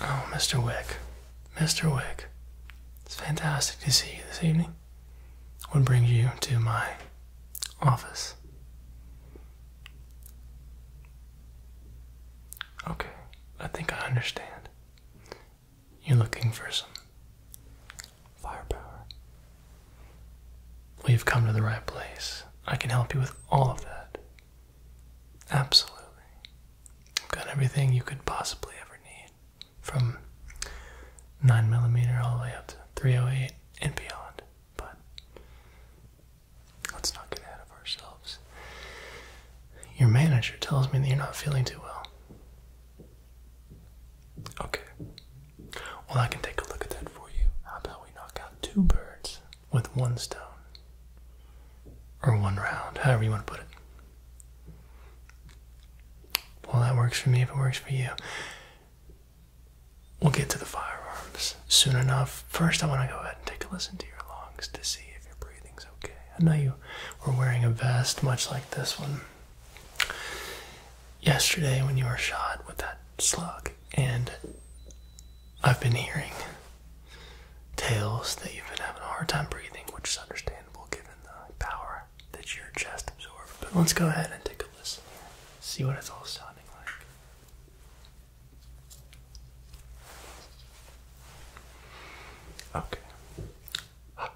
Oh, Mr. Wick. Mr. Wick. It's fantastic to see you this evening. What brings you to my office? Okay, I think I understand. You're looking for some firepower. we have come to the right place. I can help you with all of that. Absolutely. got everything you could possibly ever need from 9mm all the way up to 308 and beyond. But let's not get ahead of ourselves. Your manager tells me that you're not feeling too well. Okay. Well, I can take a look at that for you. How about we knock out two birds with one stone or one round, however you want to put it. Well, that works for me if it works for you. We'll get to the firearms soon enough. First, I want to go ahead and take a listen to your lungs to see if your breathing's okay. I know you were wearing a vest much like this one yesterday when you were shot with that slug, and I've been hearing tales that you've been having a hard time breathing, which is understandable given the power that your chest absorbs. But let's go ahead and take a listen here, see what it's all sounding like. Okay.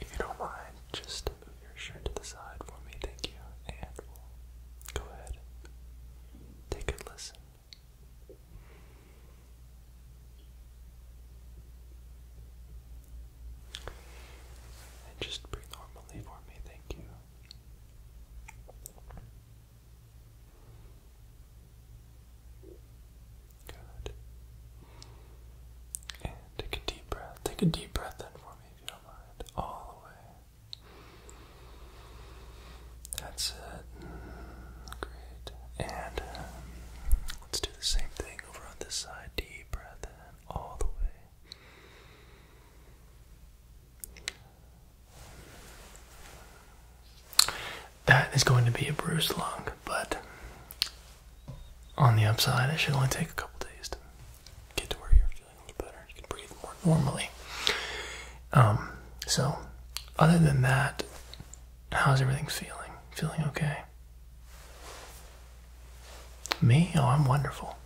if you don't mind, just move your shirt to the side for me, thank you. And go ahead take a listen just breathe normally for me, thank you. Good. And take a deep breath. Take a deep breath in for me if you don't mind. All the way. That's it. Great. And um, let's do the same thing over on this side. Deep breath in all the way. That is going to be a bruised lung, but on the upside, it should only take a couple days to get to where you're feeling a little better can breathe more normally. Um, so, other than that, how's everything feeling? Feeling okay? Me? Oh, I'm wonderful.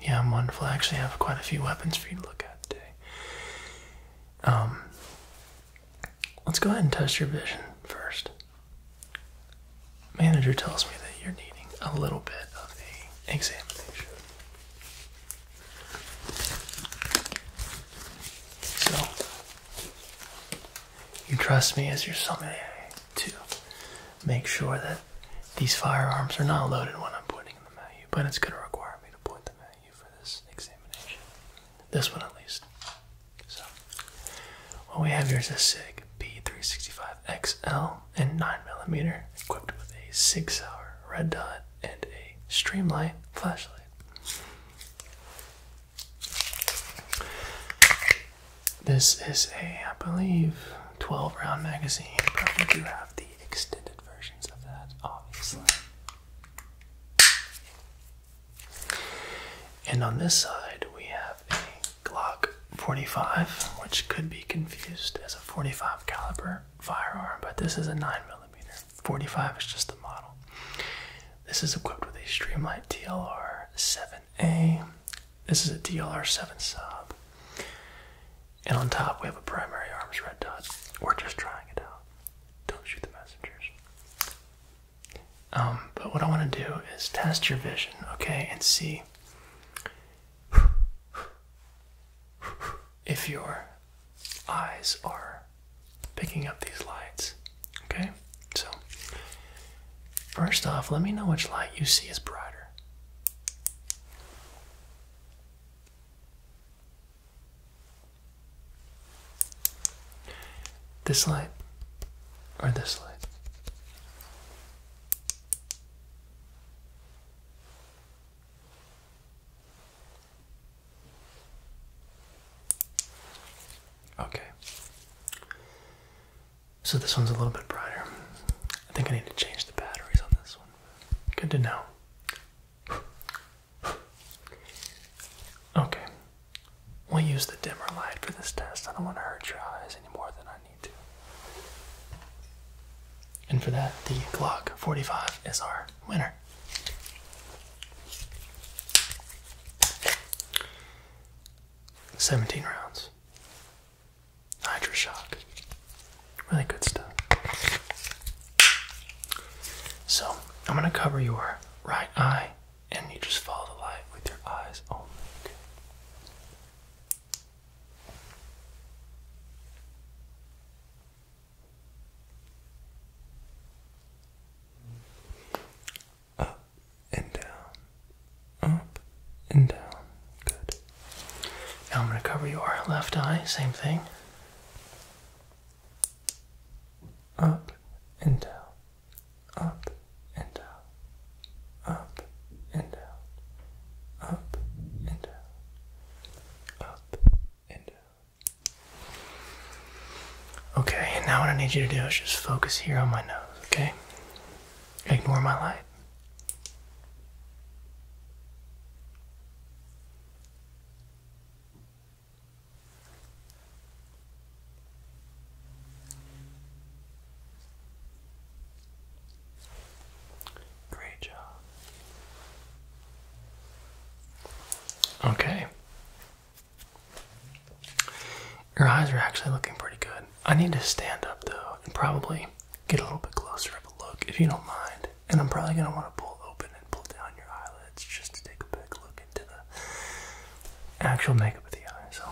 Yeah, I'm wonderful. I actually have quite a few weapons for you to look at today. Um, let's go ahead and test your vision first. Manager tells me that you're needing a little bit of a examination. So, you trust me as your sommelier to make sure that these firearms are not loaded when I'm pointing them at you, but it's going to require me to point the at for this examination. This one, at least. So, what we have here is a SIG P365XL in 9mm equipped with a 6 hour red dot and a streamline flashlight. This is a, I believe, 12 round magazine, Probably do have the extended versions of that, obviously. And on this side, we have a Glock 45, which could be confused as a 45 caliber firearm, but this is a 9 millimeter. 45 is just the model. This is equipped with a Streamlight TLR7A. This is a TLR7 sub. And on top we have a primary arms red dot. We're just trying it out. Don't shoot the messengers. Um, but what I want to do is test your vision, okay, and see if your eyes are picking up these lights. Okay? So, first off, let me know which light you see is brighter. This light or this light? Okay. So this one's a little bit brighter. I think I need to change the batteries on this one. Good to know. Okay. We'll use the dimmer light for this test. I don't want to hurt your eyes any more than I need to. And for that, the Glock 45 is our winner, Seventeen rounds. Hydra shock. Really good stuff. So I'm gonna cover your right eye, and you just follow the light with your eyes only. Up and down. Up and down. Good. Now I'm going to cover your left eye. Same thing. Up and down. Up and down. Up and down. Up and down. Up uh, okay, and now what I need you to do is just focus here on my nose. Okay, ignore my light. Great job. Okay. Your eyes are actually looking pretty good. I need to stand up though and probably get a little bit closer of a look if you don't mind. And I'm probably going to want to pull open and pull down your eyelids just to take a big look into the actual makeup of the eyes. So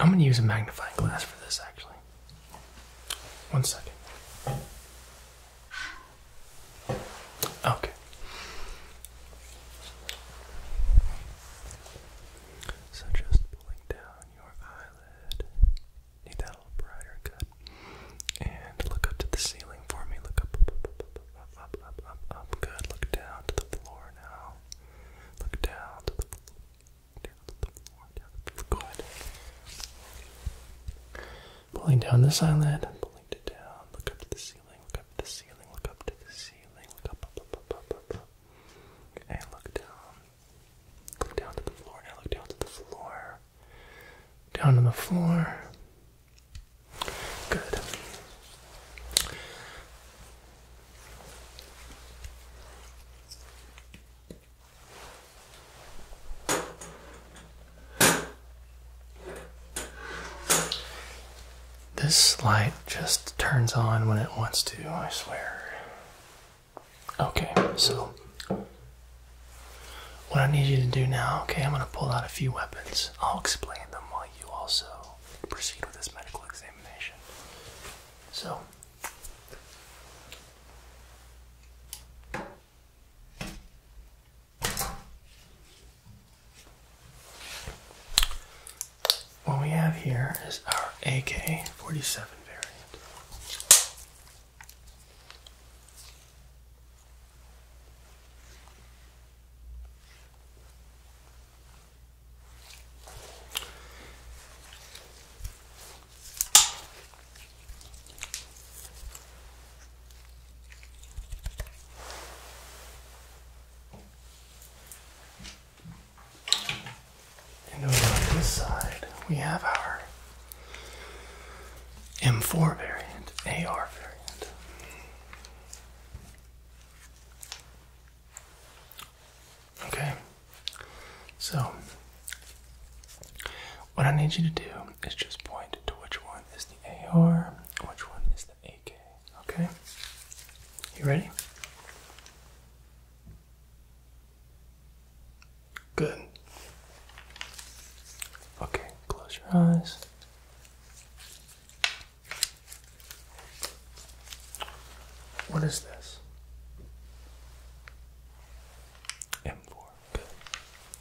I'm going to use a magnifying glass for this actually. One second. Okay. So just pulling down your eyelid. Need that a little brighter cut. And look up to the ceiling for me. Look up, up, up, up, up, up, up, up. Good. Look down to the floor now. Look down Good. Pulling down this eyelid, pulling it down. Look up to the ceiling. Look up to the ceiling. Look up to the ceiling. Look up, up, up, up, up, up. And look down. Look down to the floor. Now look down to the floor. Down to the floor. Good. This light just turns on when it wants to, I swear. Okay, so what I need you to do now, okay, I'm going to pull out a few weapons. I'll explain them while you also proceed with this medical examination. So, what we have here is our AK 47 variant. And on this side, we have our M4 variant, AR variant. Okay, so, what I need you to do is just point to which one is the AR, which one is the AK. Okay? You ready? Good. Okay, close your eyes. What is this? M4.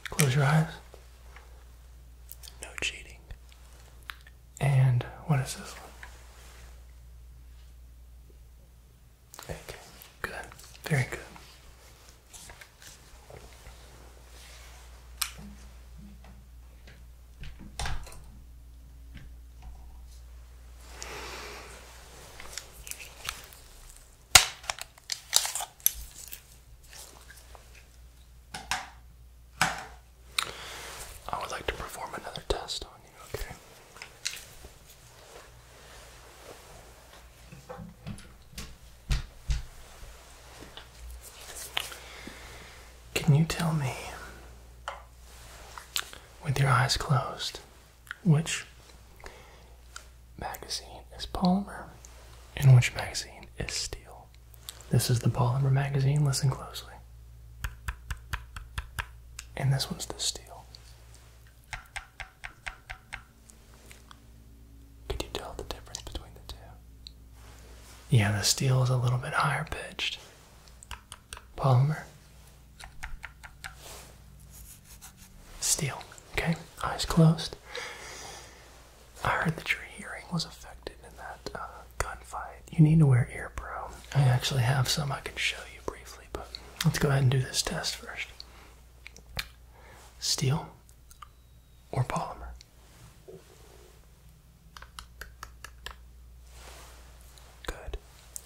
Close your eyes. No cheating. And what is this one? Okay. Good. Very good. I would like to perform another test on you, okay? Can you tell me, with your eyes closed, which magazine is polymer and which magazine is steel. This is the polymer magazine, listen closely. And this one's the steel. Could you tell the difference between the two? Yeah, the steel is a little bit higher pitched. Polymer Steel. Okay, eyes closed. I heard that your hearing was affected in that uh, gunfight. You need to wear ear pro. I actually have some I can show you briefly, but let's go ahead and do this test first. Steel or polymer? Good.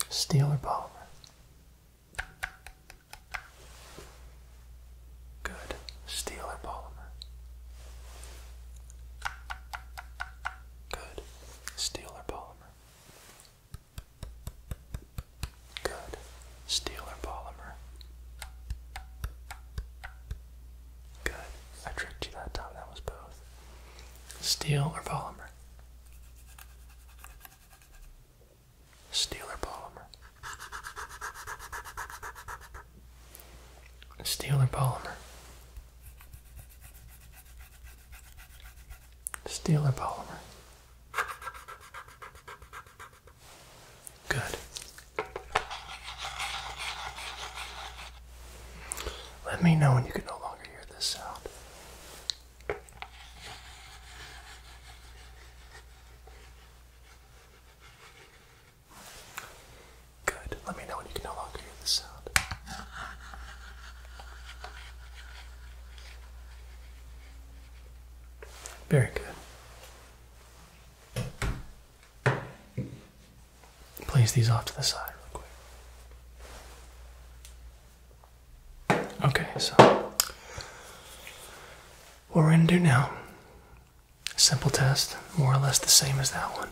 Steel or polymer? Good. Steel or polymer? Good. Steel or polymer? Good. Steel or polymer? Good. I tricked you that time. That was both. Steel or polymer? Steeler polymer. Steeler polymer. Steeler polymer. Good. Let me know when you can no longer hear this sound. Good. Let me know when you can no longer hear the sound. Very good. Place these off to the side real quick. Okay, so what we're going to do now, simple test, more or less the same as that one.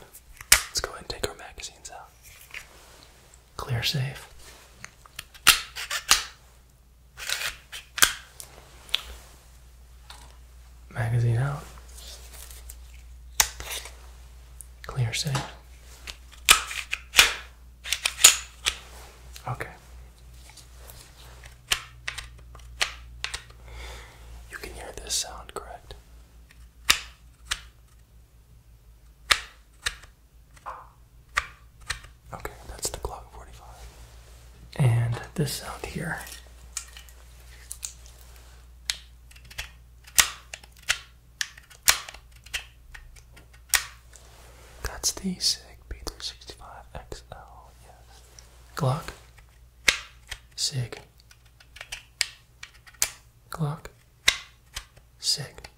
Let's go ahead and take our magazines out. Clear safe. Magazine out. Clear safe. Okay. You can hear this sound, correct? Okay, that's the Glock 45. And this sound here. That's the SIG P365XL, yes. Glock. SIG. Glock. SIG.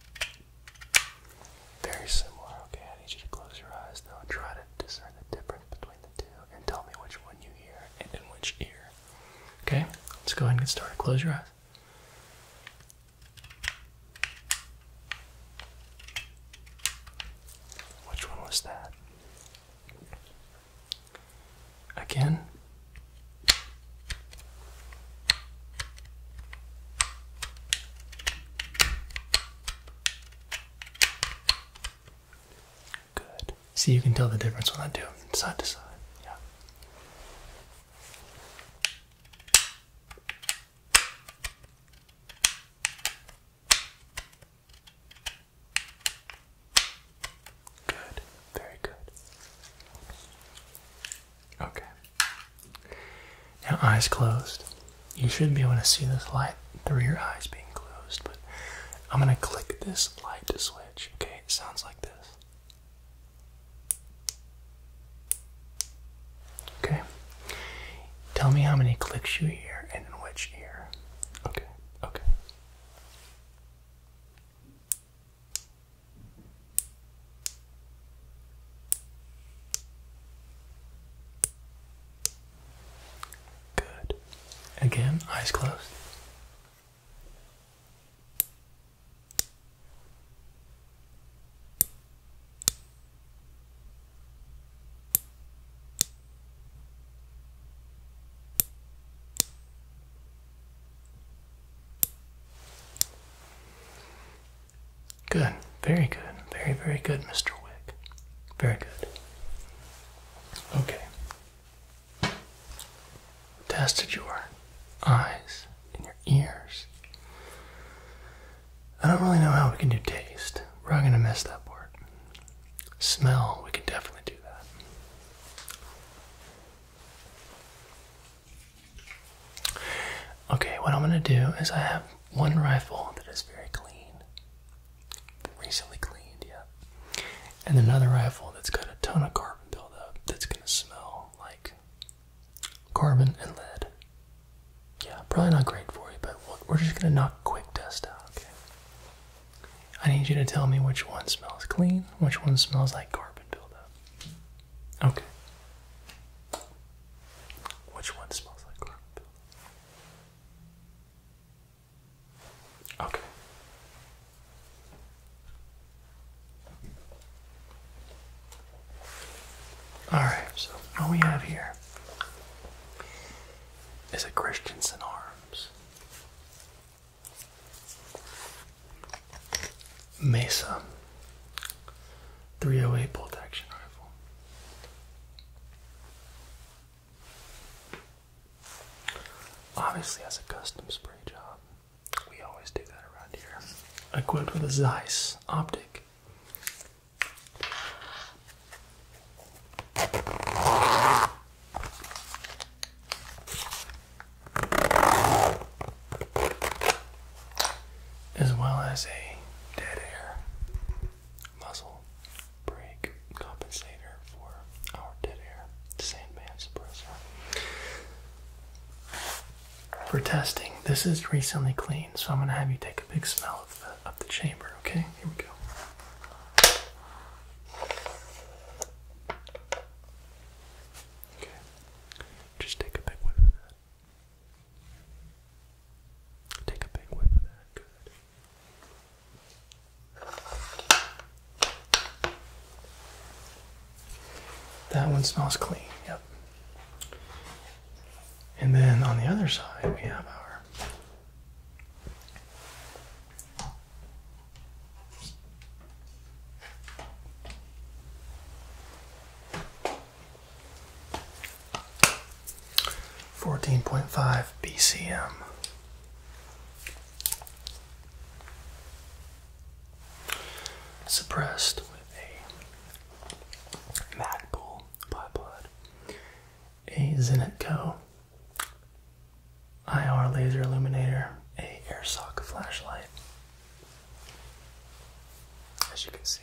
Very similar. Okay, I need you to close your eyes now. Try to discern the difference between the two and tell me which one you hear and in which ear. Okay, let's go ahead and get started. Close your eyes. Which one was that? Again? Good. See, you can tell the difference when I do them side to side. Yeah. Good, very good. Okay. Now, eyes closed. You should be able to see this light through your eyes being closed, but I'm going to click this light to switch. Okay, it sounds like this. Okay. Tell me how many clicks you hear and in which ear. Okay, okay. Good. Again, eyes closed. Good, very good, very, very good, Mr. Wick. Very good. Okay. Tested are eyes, and your ears. I don't really know how we can do taste. We're not going to mess that part. Smell, we can definitely do that. Okay, what I'm going to do is I have one rifle that is very clean, recently cleaned, yeah, and another rifle that's got a ton of carbon buildup that's going to smell like carbon, and lead. Yeah, probably not great for you, but we're just gonna knock quick dust out, okay? I need you to tell me which one smells clean, which one smells like carbon buildup. Okay. Which one smells like carbon buildup? Okay. All right, so all we have here is a Christensen Arms Mesa 308 bolt action rifle. Obviously has a custom spray job. Equipped with a Zeiss optic. As well as a dead air muzzle brake compensator for our dead air sandman suppressor for testing. This is recently cleaned, so I'm gonna have you take a big smell of the of the chamber. Okay, here we go. Okay, just take a big whiff of that. Take a big whiff of that. Good. That one smells clean, yep. And then on the other side, we have our Fourteen point five BCM. Suppressed with a Magpul by Blood, a Zenitco IR laser illuminator, a airsock flashlight. As you can see,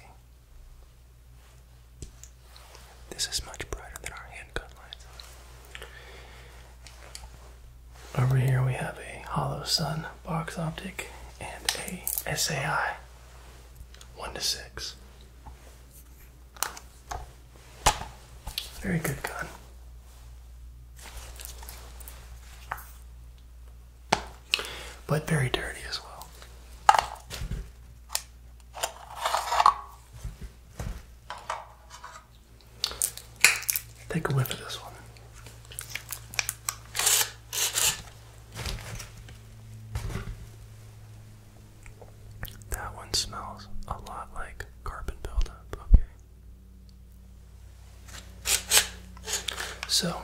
this is much brighter than our handgun lights. Over here we have a hollow sun box optic and a SAI 1 to 6. Very good gun. But very dirty as well. Take a whiff of this one. That one smells a lot like carbon buildup, okay. So,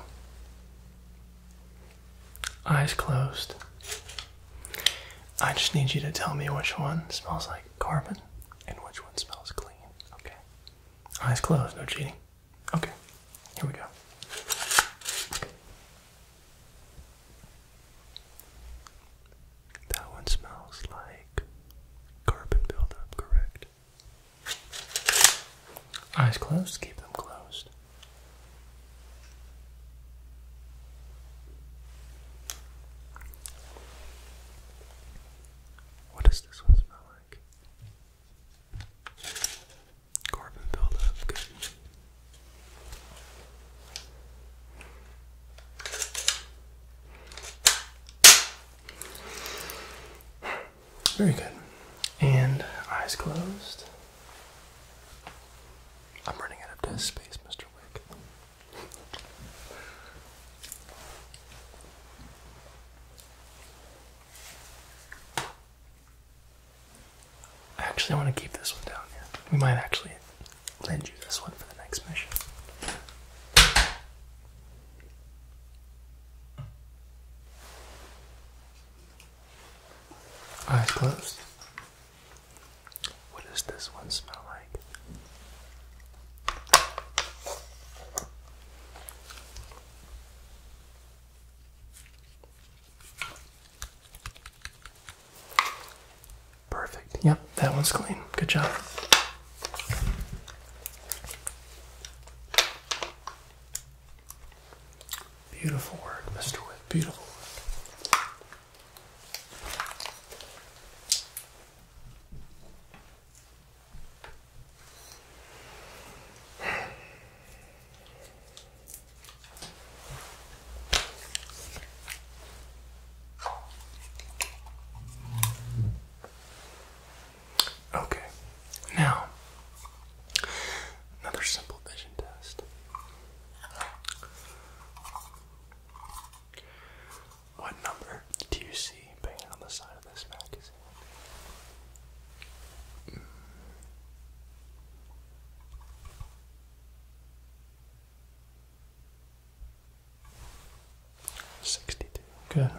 eyes closed. I just need you to tell me which one smells like carbon and which one smells clean, okay? Eyes closed, no cheating. Okay, here we go. That one smells like carbon buildup, correct? Eyes closed, keep them closed. What does this one smell like? Carbon buildup, Very good. And eyes closed. I'm running out of desk space, Mr. Wick. Actually, I want to keep this one down We might actually lend you this one for the next mission. Eyes closed. What does this one smell like? Perfect. Yep, that one's clean. Good job. Beautiful work, Mr. Witt. Beautiful Okay, now another simple vision test. What number do you see on the side Sixty-two. Good.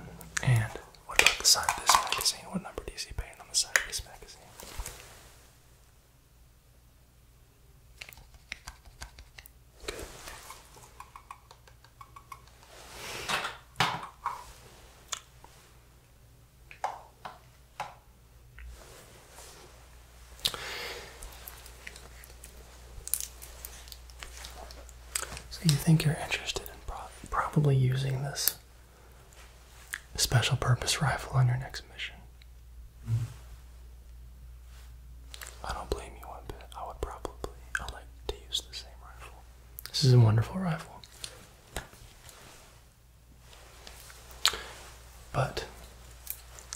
And what about the side of this magazine? What number do you see painted on the side of this magazine? Good. So, you think you're interested in probably using this special purpose rifle on your next mission? Mm-hmm. I don't blame you one bit. I would probably like to use the same rifle. This is a wonderful rifle. But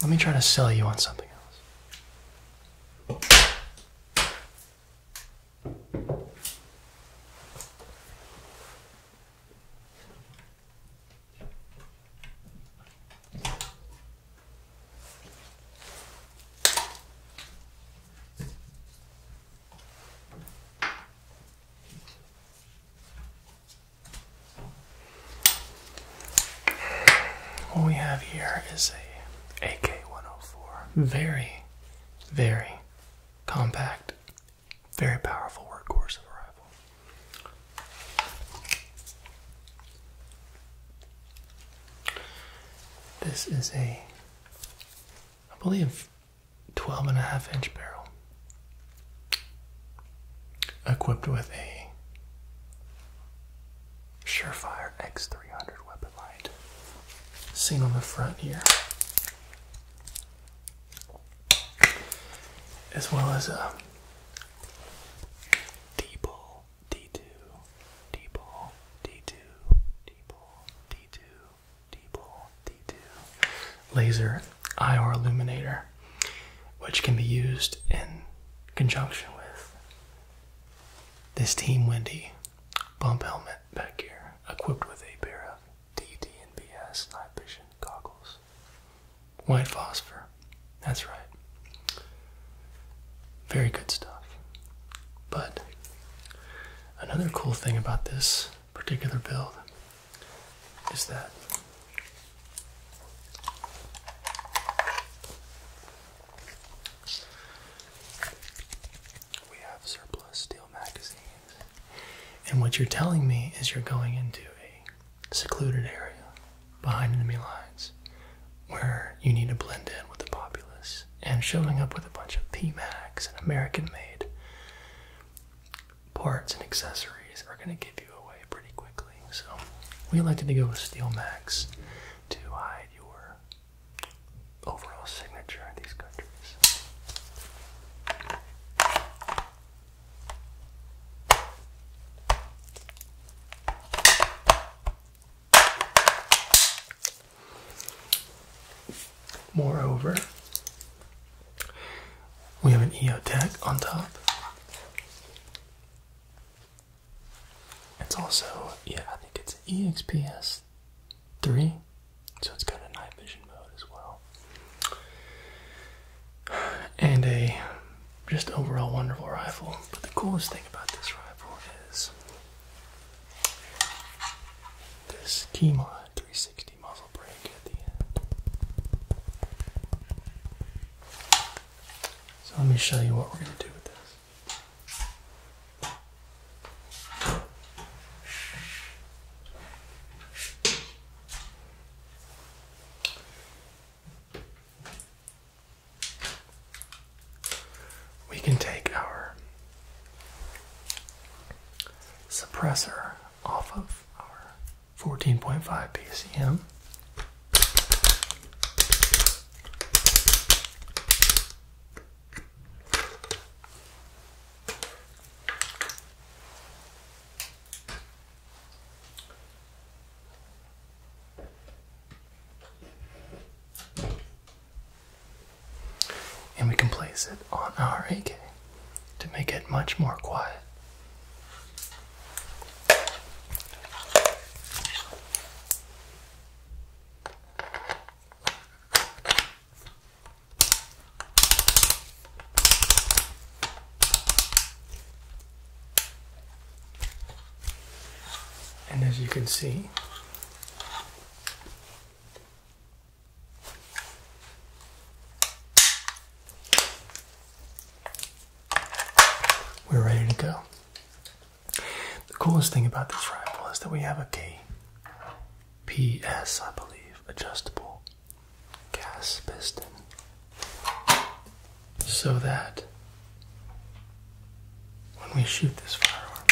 let me try to sell you on something else. What we have here is a AK-104. Very, very compact, very powerful workhorse of a rifle. This is a I believe 12 and a half inch barrel equipped with a Surefire X300 weapon light seen on the front here as well as a D-ball D2 D-ball D2 D-ball D2 D2 laser IR illuminator, which can be used in conjunction with this Team Wendy bump helmet back here, equipped with a pair of DD night vision goggles. White phosphor, that's right. Very good stuff. But Another cool thing about this particular build is that we have surplus steel magazines. And what you're telling me is you're going into a secluded area behind enemy lines where you need to blend in with the populace and showing up with a bunch of PMAX and American made parts and accessories are going to give you away pretty quickly. So we elected to go with Steel Max to hide your overall signature in these countries. Moreover, we have an EOTech on top. It's also, yeah, I think it's EXPS 3, so it's got a night vision mode as well. And a just overall wonderful rifle. But the coolest thing about this rifle is this Kima 360 muzzle brake at the end. So let me show you what we're going to do with this we can take our suppressor off of our 14.5 PCM. And we can place it on our AK to make it much more quiet. And as you can see, we're ready to go. The coolest thing about this rifle is that we have a key. PS, I believe, adjustable gas piston. So that when we shoot this firearm.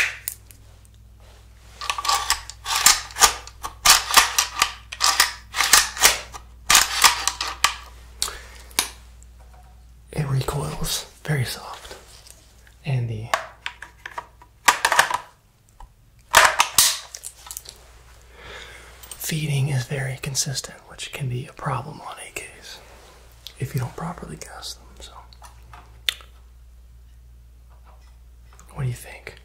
It recoils very soft, and the feeding is very consistent, which can be a problem on AKs if you don't properly cast them. So, what do you think?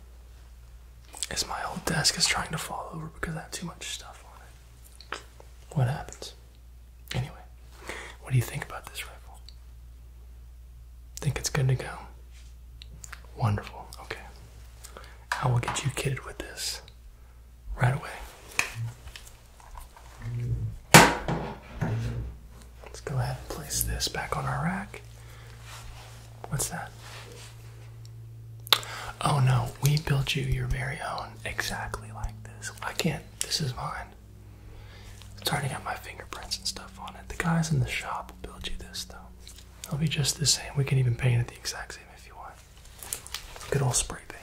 Is my old desk is trying to fall over because I have too much stuff on it? What happens? Anyway, what do you think about this rifle? Think it's good to go? Wonderful. Okay. I will get you kitted with this right away. Let's go ahead and place this back on our rack. What's that? Oh no, we built you your very own exactly like this. I can't, this is mine. It's already got my fingerprints and stuff on it. The guys in the shop will build you this though. It'll be just the same. We can even paint it the exact same if you want. Good old spray paint.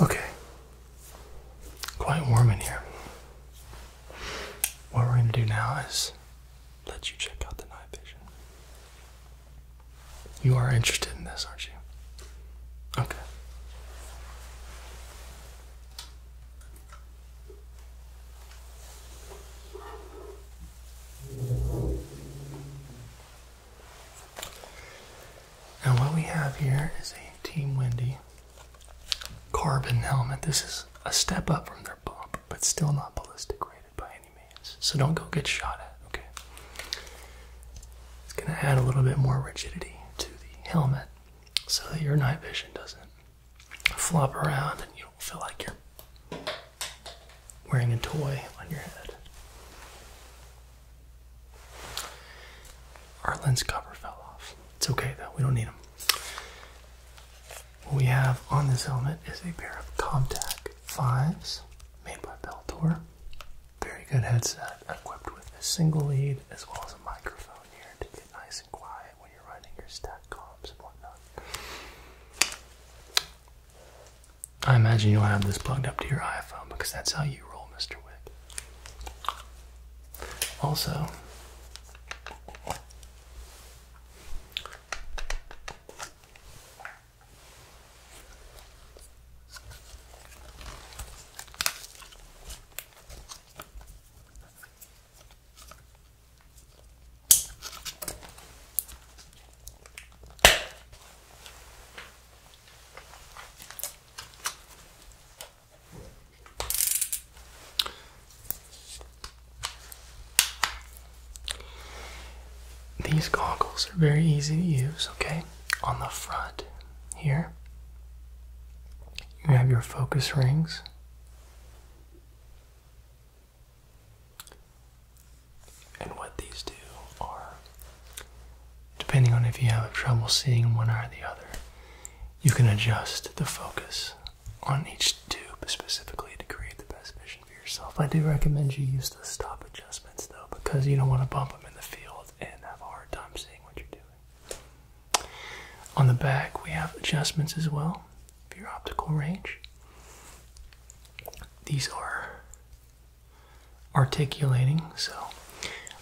Okay, quite warm in here. What we're going to do now is let you check out the night vision. You are interested in this, aren't you? Okay. Now, what we have here is a Team Wendy carbon helmet. This is a step up from their pump, but still not ballistic rated by any means. So don't go get shot at, okay? It's going to add a little bit more rigidity to the helmet so that your night vision doesn't flop around and you don't feel like you're wearing a toy on your head. Our lens cover fell off. It's okay though, we don't need them. What we have on this helmet is a pair of Comtac 5s made by Beltor. Very good headset equipped with a single lead as well as a microphone here to get nice and quiet when you're running your stat comps and whatnot. I imagine you'll have this plugged up to your iPhone because that's how you roll, Mr. Wick. Also, these goggles are very easy to use, okay? on the front here, you have your focus rings. And what these do are, depending on if you have trouble seeing one or the other, you can adjust the focus on each tube specifically to create the best vision for yourself. I do recommend you use the stop adjustments though, because you don't want to bump them in the field and have a hard time seeing what you're doing. On the back, we have adjustments as well for your optical range. These are articulating, so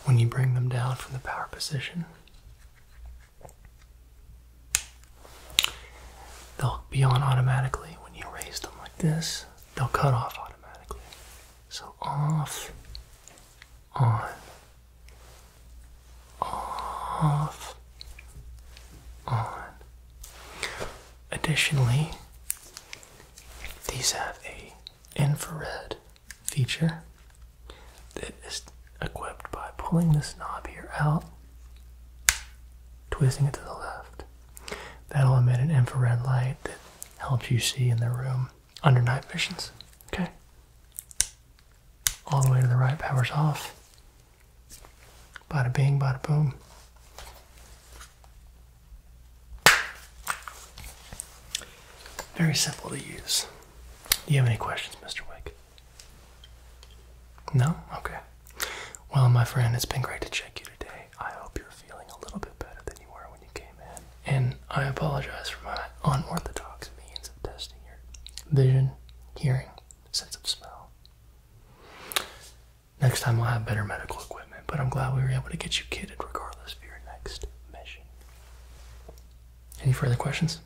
when you bring them down from the power position, they'll be on automatically. When you raise them like this, they'll cut off automatically. So off, on, off, on. Additionally, these have a infrared feature that is equipped by pulling this knob here out, twisting it to the left. That'll emit an infrared light that helps you see in the room under night visions. Okay. All the way to the right, power's off. Bada bing, bada boom. Very simple to use. Do you have any questions, Mr. Wake? No? Okay. Well, my friend, it's been great to check you today. I hope you're feeling a little bit better than you were when you and I apologize for my unorthodox means of testing your vision, hearing, sense of smell. Next time we will have better medical equipment, but I'm glad we were able to get you kidded, regardless for your next mission. Any further questions?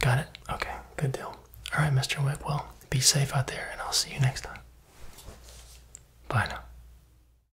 Got it? Okay, good deal. Alright, Mr. Whip, well, be safe out there, and I'll see you next time. Bye now.